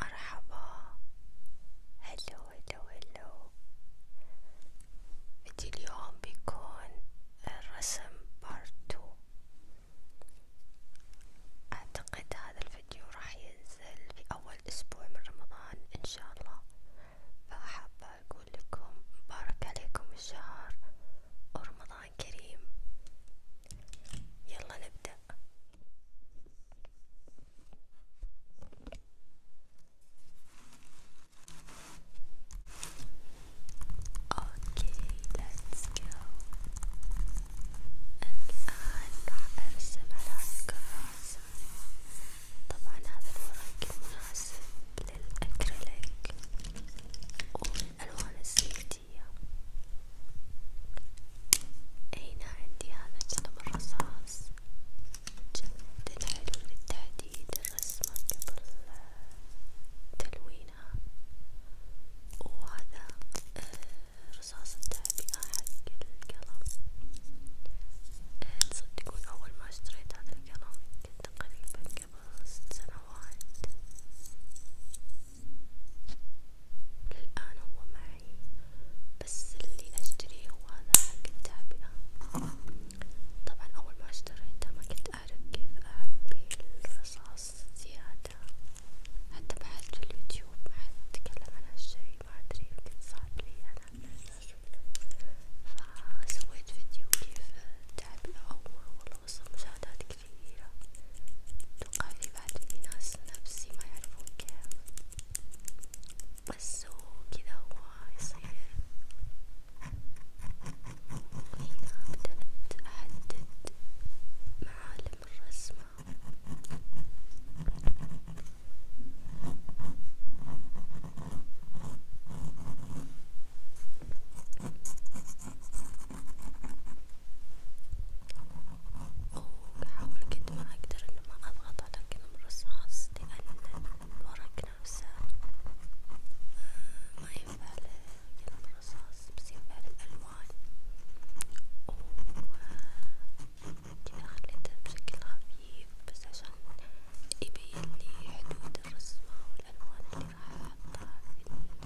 مرحبا هلو هلو هلو فيديو اليوم بيكون الرسم بارت تو اعتقد هذا الفيديو راح ينزل في اول اسبوع من رمضان ان شاء الله فحابة اقول لكم مبارك عليكم الشهر ورمضان كريم يلا نبدأ اوكي ليتس جو الان راح ارسم على الراس طبعا هذا الورق مناسب للاكريليك والالوان الزيت عندي هنا عندي هذا القلم الرصاص جدا حلو للتحديد الرسمة قبل تلوينها وهذا آه، رصاص التعبئة حق القلم آه، تصدقون أول ما اشتريت هذا القلم كنت تقريبا قبل ست سنوات الآن هو معي بس اللي أشتريه هو هذا حق التعبئة طبعا أول ما اشتريته ما كنت أعرف كيف أعبي الرصاص زيادة حتى بحثت في اليوتيوب ما حد تكلم عن هالشي ما أدري يمكن صار لي أنا فسويت فيديو كيف تعبئة أول والله وصل مشاهدات كثير كثيرة توقع في بعض من ناس نفسي ما يعرفون كيف بس هو كذا هو يصير وهنا بدأت أحدد معالم الرسمة وبحاول قد ما اقدر انه ما اضغط على قلم الرصاص لان الورق نفسه آه، ما ينفع لقلم الرصاص بس ينفع للالوان وكذا خليته بشكل خفيف بس عشان يبين لي حدود الرسمة والألوان اللي راح أحطها في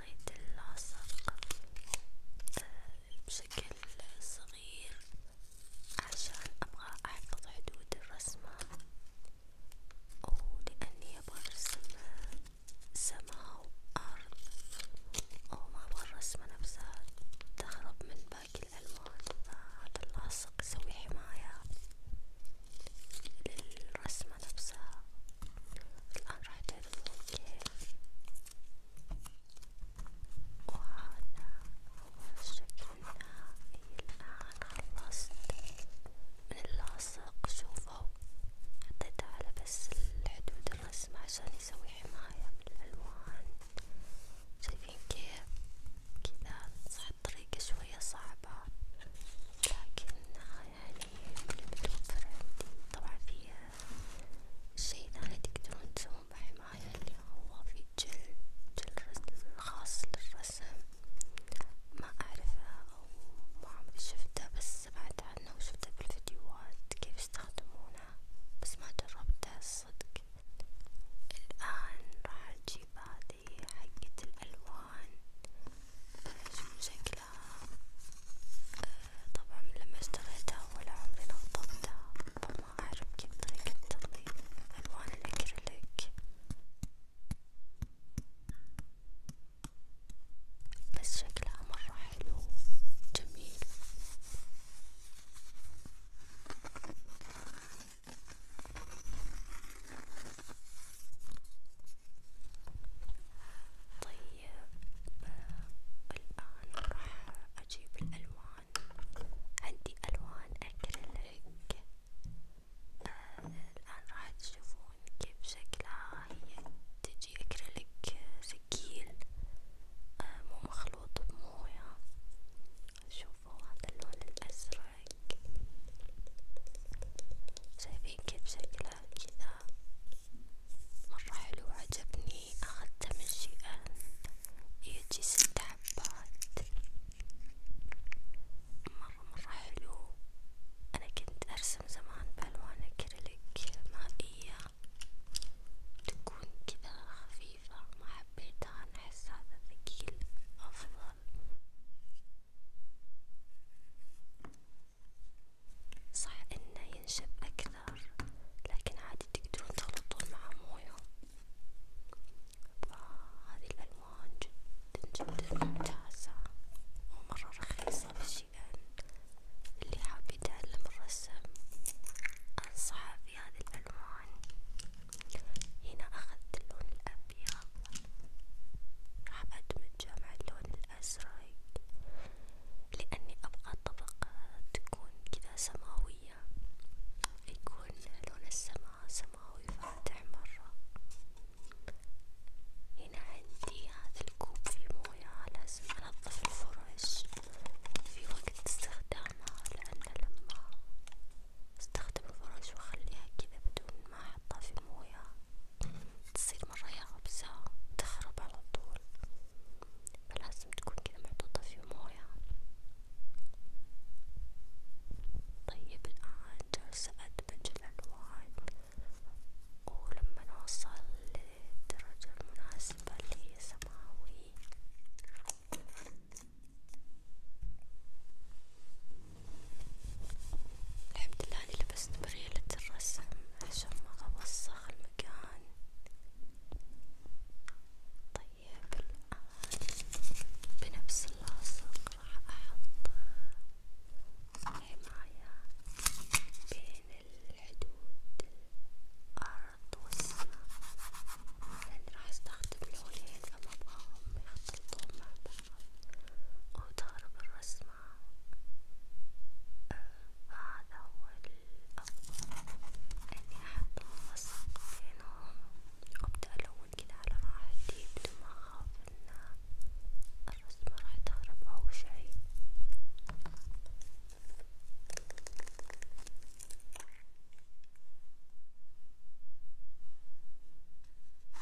قصيت اللاصق آه، بشكل صغير عشان أبغى أحفظ حدود الرسمة ولأني أبغى أرسم سماء وأرض وما أبغى الرسمة نفسها تهرب من باقي الألوان فهذا اللاصق يسوي حماية للرسمة نفسها الآن راح تعرفون كيف وهذا هو الشكل النهائي الآن خلصت من اللاصق شوفوا حطيت على بس الحدود الرسمة عشان يسوي حماية من الألوان شايفين كيف كذا صح الطريقة شوية صعبة لكن يعني اللي متوفر عندي طبعا في شي ثاني تقدرون تسوون بحماية اللي هو في جل جل خاص للرسم ما أعرفه أو ما عمري شفته بس سمعت عنه وشفته بالفيديوهات كيف يستخدمونه بس ما جربته الصدق الآن راح أجيب هذه حقة الألوان شنو شكلها آه طبعا لما اشتريتها ولا عمري نظفتها فما اعرف كيف طريقة تنظيف الوان الاكريليك بس شكلها مرة حلو جميل طيب الآن راح أجيب الألوان عندي ألوان أكريليك آه الآن راح تشوفون كيف شكلها هي تجي أكريليك سكيل مو مخلوط بموية شوفوا هذا اللون الأزرق شايفين كيف شكلها شكله كذا مرة حلو عجبني أخذته من شيئا يجي ست حبات مرة مرة حلو أنا كنت أرسم زمان بألوان أكريليك مائية تكون كذا خفيفة ما حبيتها أنا أحس هذا ثقيل أفضل صح انه ينشف اكثر لكن عادي تقدرون تخلطون مع مويه فهذه آه، الالوان جدا جدا ممتازة ومرة رخيصة في شيئان اللي حاب يتعلم الرسم انصحه في هذه الالوان هنا اخذت اللون الابيض الأبيض راح أدمج جمع اللون الأزرق لأني أبغى طبقة تكون كذا سماوية يكون لون السماء سماوي فاتح مرة هنا عندي هذا الكوب فيه موية لازم أنظف الفرش في وقت استخدامها لأن لما استخدم الفرش وأخليها كذا بدون ما أحطها في موية تصير مرة يابسة تخرب على طول فلازم تكون كذا محطوطة في موية طيب الآن جالسة أدمج الألوان ولما نوصل للدرجة المناسبة اللي هي سماوي الحمد لله أني لبست بريلة الرسم عشان ما أوسخ المكان، طيب الآن بنفس اللاصق راح أحط حماية بين الحدود الأرض والسماء، لأني راح أستخدم لونين فما أبغاهم يختلطون مع بعض. وتهرب الرسمة فهذا أه، هو الأفضل إني أحط الوسط بينهم وأبدأ ألون كده على راحتي بدون ما أخاف إن الرسمة راح تهرب أو شي.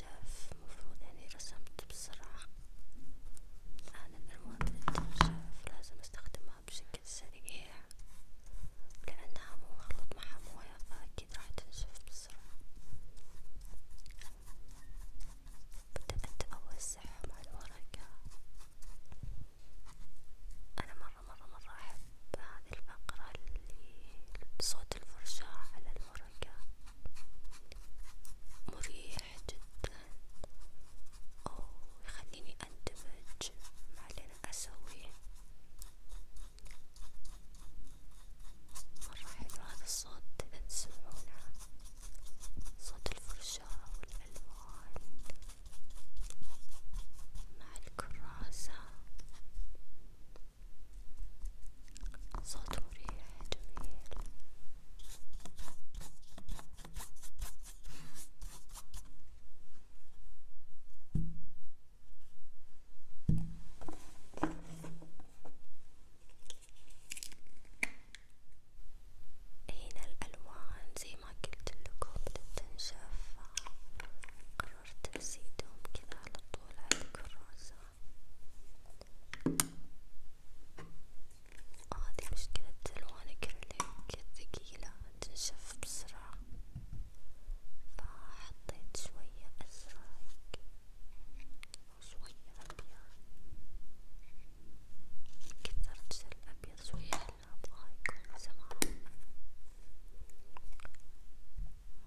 التوشاف مفروض يعني رسمت بسرعة على الألوان التوشاف لازم استخدمها بشكل سريع لأنها مو مخلوط معها موية فأكيد راح تنشف بسرعة بدأت أوسع مع الورقة أنا مرة مرة مرة أحب بهذه الفقرة اللي صوت الفرشاة على الورقة مريح جدا ويخليني اندمج مع اللي انا اسويه مرة حلو هذا الصوت اذا تسمعونه صوت الفرشاة والالوان مع الكراسة صوت مريح جميل هنا الألوان زي ما قلت لكم بتنشف قررت أزيدهم كذا على طول على الكراسة هذه آه، مشكلة ألوان الكرليك ثقيلة تنشف بسرعة فحطيت شوية أزرق وشوية أبيض كثرت الأبيض شوية لأنه أبغاه يكون سماوي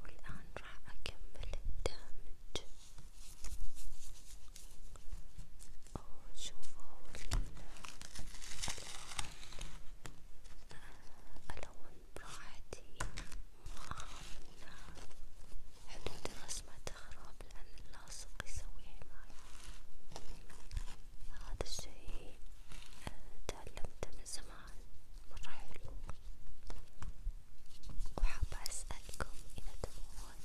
والآن راح أكمل الدمج شوفوا الألوان براحتي مآمنة حدود الرسمة تخرب لأن اللاصق يسوي حماية هذا الشي آه، تعلمته من زمان مرة حلو وحابة أسألكم إذا تبغون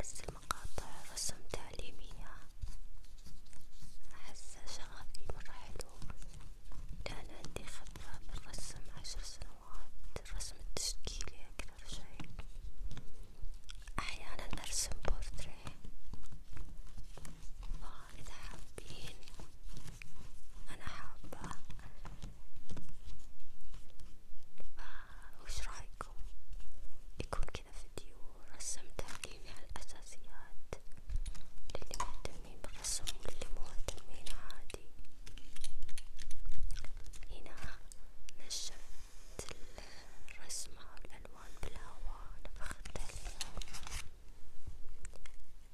أنزل آه، مقاطع رسم تعليمية أحس شغفي مرة حلو لأن عندي خبرة بالرسم عشر سنوات الرسم التشكيلي أكثر شي أحيانا أرسم بورتريه فإذا حابين أنا حابة آه، وش رأيكم يكون كذا فيديو رسم تعليمي على الأساسيات للي مهتمين بالرسم واللي مو مهتمين عادي هنا نشفت الرسمة والألوان بالهواء نفختها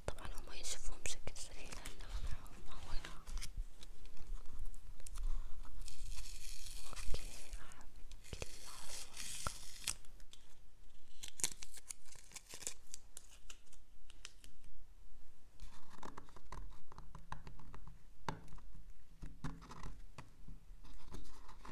طبعا هما يشوفون بشكل سريع لأنه معهم مويه اوكي راح بكل عصفك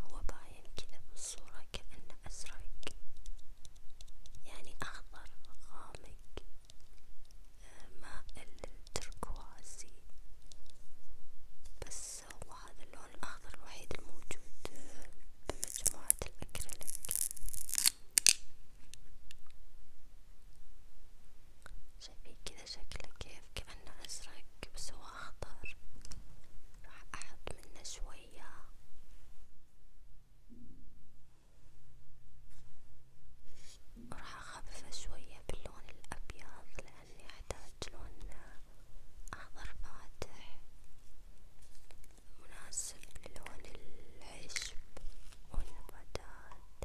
هو باين كذا بالصورة كأنه أزرق يعني أخضر غامق آه، مائل للتركوازي بس هو هذا اللون الأخضر الوحيد الموجود آه، بمجموعة الأكريليك شايفين كذا شكله كيف كأنه أزرق بس هو أخضر راح أحط منه شوية وراح أخففه شوية باللون الأبيض لأني أحتاج لون أخضر فاتح مناسب للون العشب والنباتات.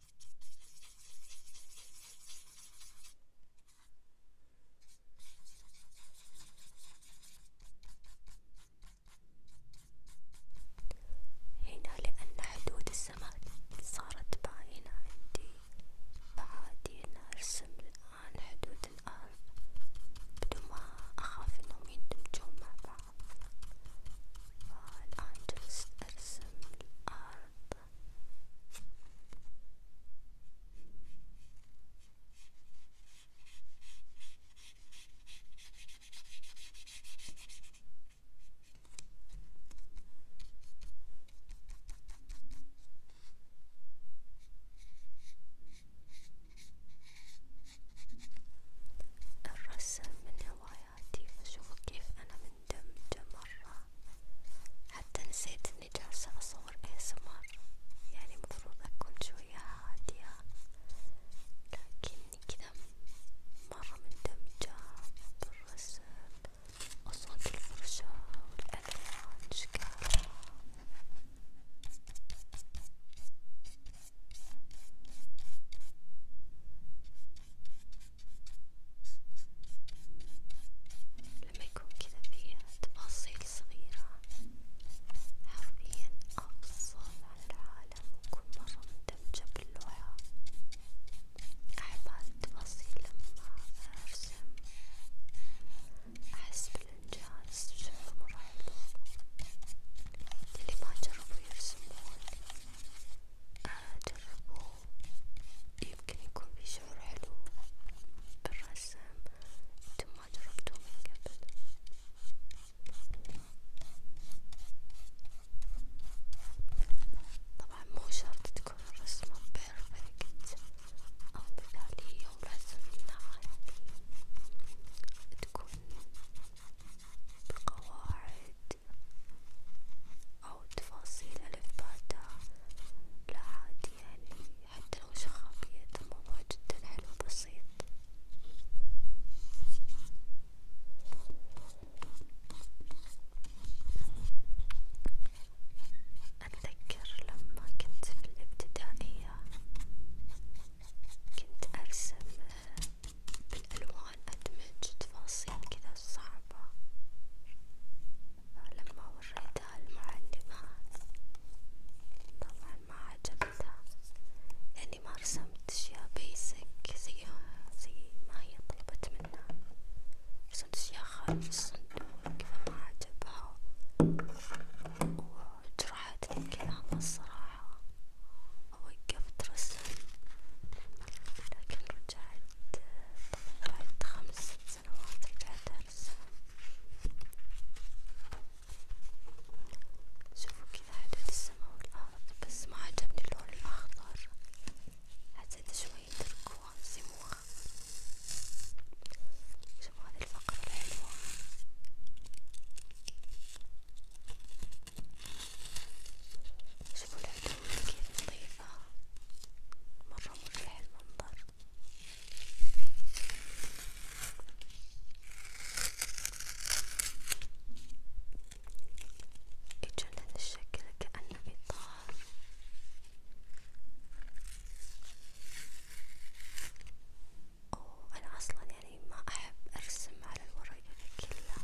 هنا لأن حدود السماء صارت باينة عندي فعادي أنا أرسم الآن حدود الأرض بدون ما أخاف إنهم يندمجون مع بعض، فالآن جلست أرسم الأرض الرسم من هواياتي حياتي فشوفوا كيف أنا مندمجة مرة حتى نسيت إني جالسة أصور ASMR يعني مفروض أكون شوية هادية لكني كذا مرة مندمجة بالرسم وصوت الفرشة والألوان شكلها لما يكون كذا فيه تفاصيل صغيرة حرفيا أفصل عن العالم وأكون مرة مندمجة باللوحة أحب هذي التفاصيل لما أرسم أحس بالإنجاز شعور مرة حلو اللي ما جربوا يرسمون جربوا يمكن يكون في شعور حلو بالرسم انتم ما جربتوه من قبل طبعا مو شرط تكون الرسمة بيرفكت أو مثالية ولازم إنها يعني تكون بقواعد أو تفاصيل ألف باء لا عادي يعني حتى لو شخابية الموضوع جدا حلو بسيط أتذكر لما كنت في الابتدائية كنت أرسم بالألوان أدمج تفاصيل كذا صعبة آه، لما وريتها المعلمة طبعا ما عجبتها يعني ما رسمت أشياء بيسك زيها زي ما هي طلبت منها رسمت أشياء خارج الصندوق فما عجبها وجرحتني كلامها الصراحة ووقفت رسم لكن رجعت طبعا بعد خمس ست سنوات رجعت أرسم شوفوا كذا حدود السماء والأرض بس ما عجبني اللون الأخضر حسيت شوية تركوان سموها شوفوا هذه الفقرة الحلوة شوفوا العدوية كيف لطيفة مرة مريح المنظر يجون هذا الشكل كأنه إطار أنا أصلا يعني ما أحب أرسم على الورق كلها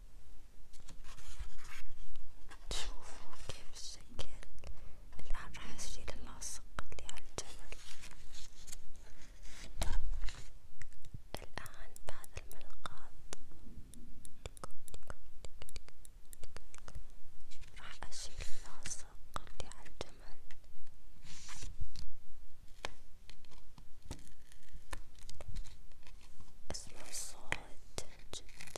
تشوفوا كيف الشكل الآن راح أشيل اللاصق اللي على الجمل الآن بعد الملقاط راح أشيل اللاصق اللي على الجمل اسمع الصوت جدا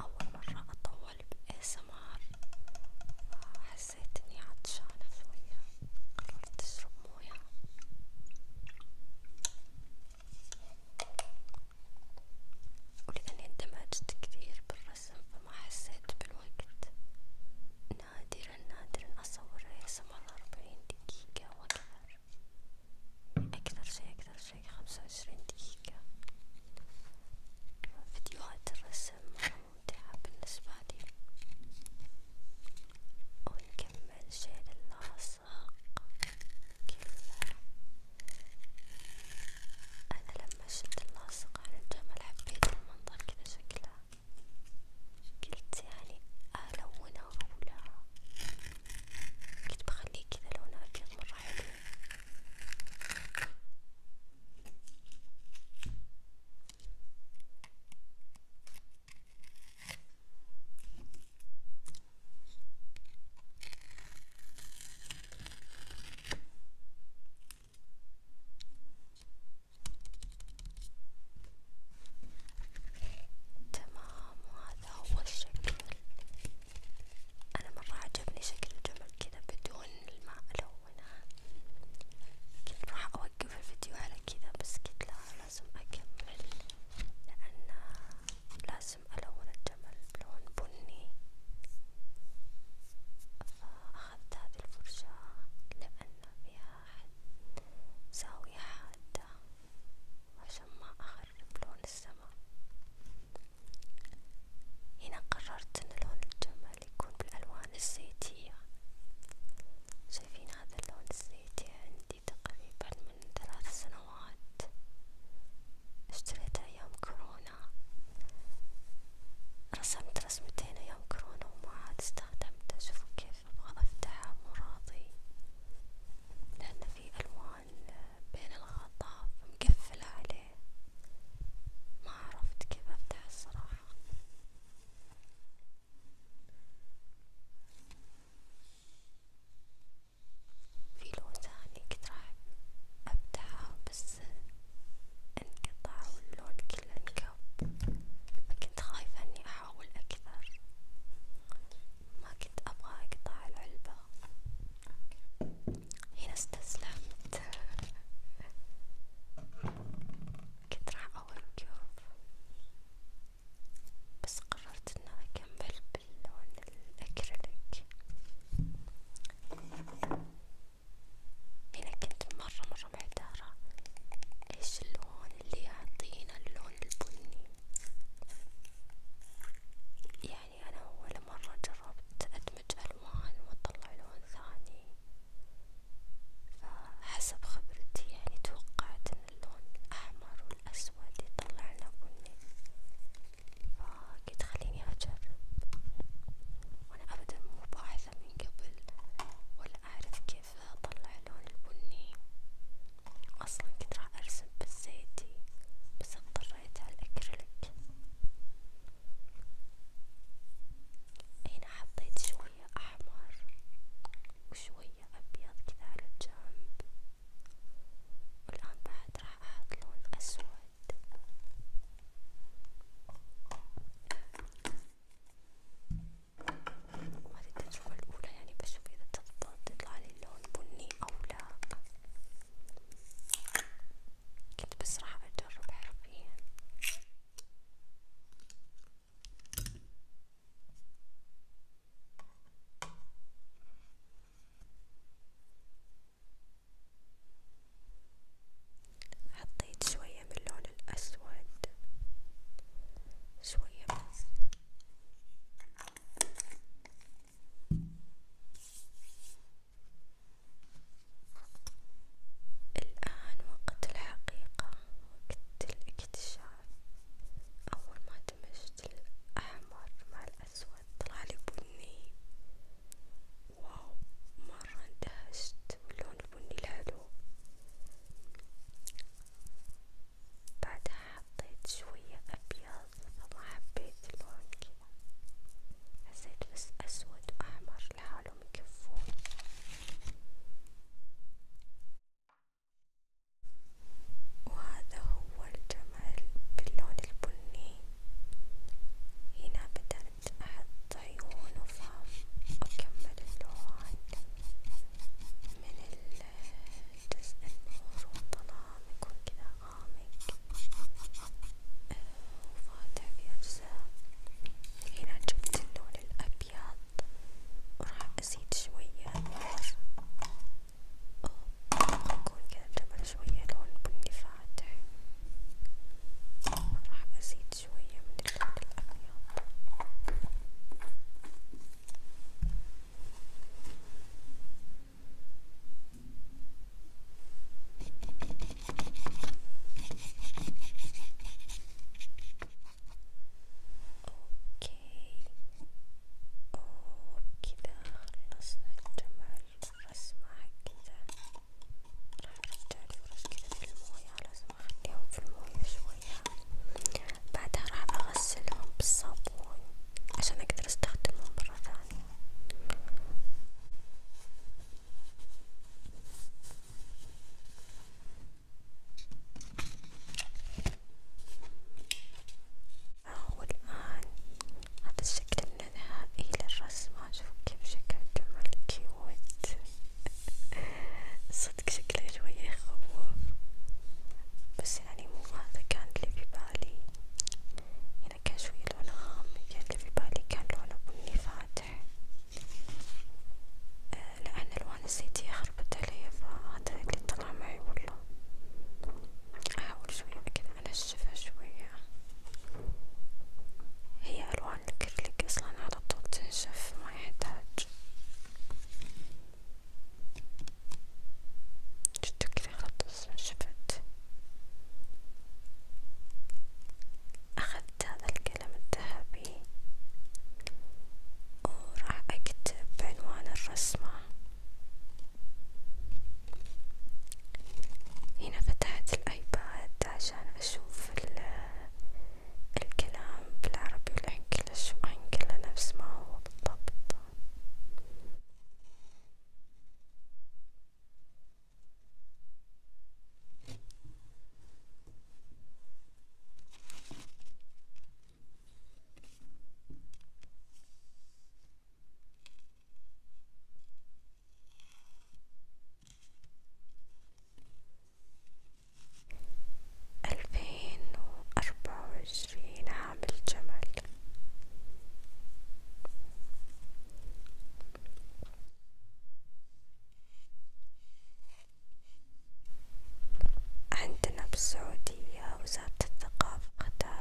أول مرة أطول بأسمار حسيت إني عطشانة شوية قررت أشرب موية ولأني اندمجت كثير بالرقص أرسم فما حسيت بالوقت نادرا نادرا أصور رسم على أربعين دقيقة وأكثر أكثر شي أكثر شي خمسة وعشرين دقيقة فيديوهات الرسم ممتعة بالنسبة لي ونكمل شيل اللاصق كله أنا لما مشت اللاصق على الجمل حبيت المنظر كذا شكلها قلت يعني ألونها ولا قلت بخليه كذا لونه أبيض مرة حلو تمام وهذا هو الشكل أنا مرة عجبني شكل الجمل كذا بدون الماء ألونه كنت راح أوقف الفيديو على كذا بس قلت لا لازم أكمل لأن لازم ألون الجمل بلون بني آه، أخذت هذه الفرشاة لأن فيها زاوية حادة عشان ما أخرب لون السماء هنا قررت أن لون الجمل يكون بالألوان الزيتية شايفين هذا اللون الزيتي عندي تقريبا من ثلاث سنوات اشتريته أيام كورونا كورونا رسمت رسمتين أيام كورونا وما عاد استخدمته شوفوا كيف أبغى أفتحه مو راضي لأن في ألوان بين الغطاء مقفلة عليه ما عرفت كيف أفتحه الصراحة في لون ثاني كنت راح أفتحه بس بس انقطع اللون كله انقب فكنت خايفة اني احاول اكثر ما كنت ابغى اقطع العلبة هنا استسلمت كنت راح اوقف بس قررت انه اكمل باللون الاكريليك انا كنت مرة مرة محتارة ايش اللون اللي يعطينا اللون البني يعني انا اول مرة جربت ادمج الوان واطلع لون ثاني فحسب خبرتي يعني توقعت ان اللون الاحمر والاسود يطلعنا بني فقلت خليني أجرب وأنا أبدا مو باحثة من قبل ولا أعرف كيف أطلع لون البني أصلا كنت راح أرسم بالزيتي بس اضطريت على الأكريليك هنا حطيت شوية أحمر وشوية أبيض كذا على الجنب والآن بعد راح مع لون أسود وهذه التجربة الأولى يعني بشوف إذا تضبط يطلع لي اللون بني أو لا كنت بس راح أجرب حرفيا حطيت شوية من اللون الأسود شوية بس الآن وقت الحقيقة وقت الاكتشاف أول ما دمجت الأحمر مع الأسود طلعلي بني واو مرة اندهشت باللون البني الحلو بعدها حطيت شوية أبيض فما حبيت اللون كذا حسيت بس أسود وأحمر لحالهم يكفون وهذا هو الجمال باللون البني هنا بدأت أحط عيون وفم وأكمل اللون من الجزء النور والظلام يكون كذا غامق وفاتح في أجزاء هنا جبت اللون الأبيض وراح أزيد شوية نور ويكون كذا جبل شوية لون بني فاتح راح أزيد شوية من اللون الأبيض اوكي وبكذا خلصنا الجمل رسمة كذا راح نرجع الفرش كذا في الموية لازم أخليهم في الموية شوية بعدها راح أغسلهم بالصابون عشان أقدر أستخدمهم مرة ثانية والآن هذا الشكل النهائي للرسمة شوف كيف شكل جمل كيوت صدق شكله شوية يخوف بس يعني مو هذا كان اللي في بالي هنا يعني كان شوية لونه غامق يعني اللي في بالي كان لونه بني فاتح آه لأن ألوان الزيتية خربت علي فهذا اللي طلع معي والله أحاول شوية كذا أنشف ننشفها شوية هي الوان الكريليك اصلا على طول تنشف ما يحتاج شفتو كذا خلاص انشفت اخذت هذا القلم الذهبي وراح اكتب عنوان الرسمة هنا فتحت الايباد عشان اشوف الكلام بالعربي والانجليش وانجله نفس ما هو بالضبط ألفين وأربعة وعشرين عام الجمل عندنا بالسعودية وزارة الثقافة قطاع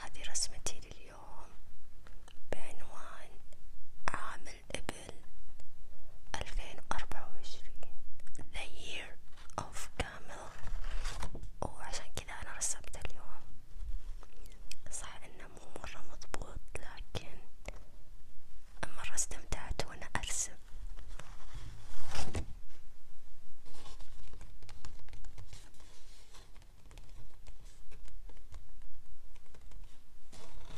هذه رسمتي لليوم بعنوان عام عام الإبل ألفين وأربعة وعشرين The Year of Camel وعشان كذا أنا رسمت اليوم صح إنه مو مرة مضبوط لكن مرة استمتعت وأنا أرسم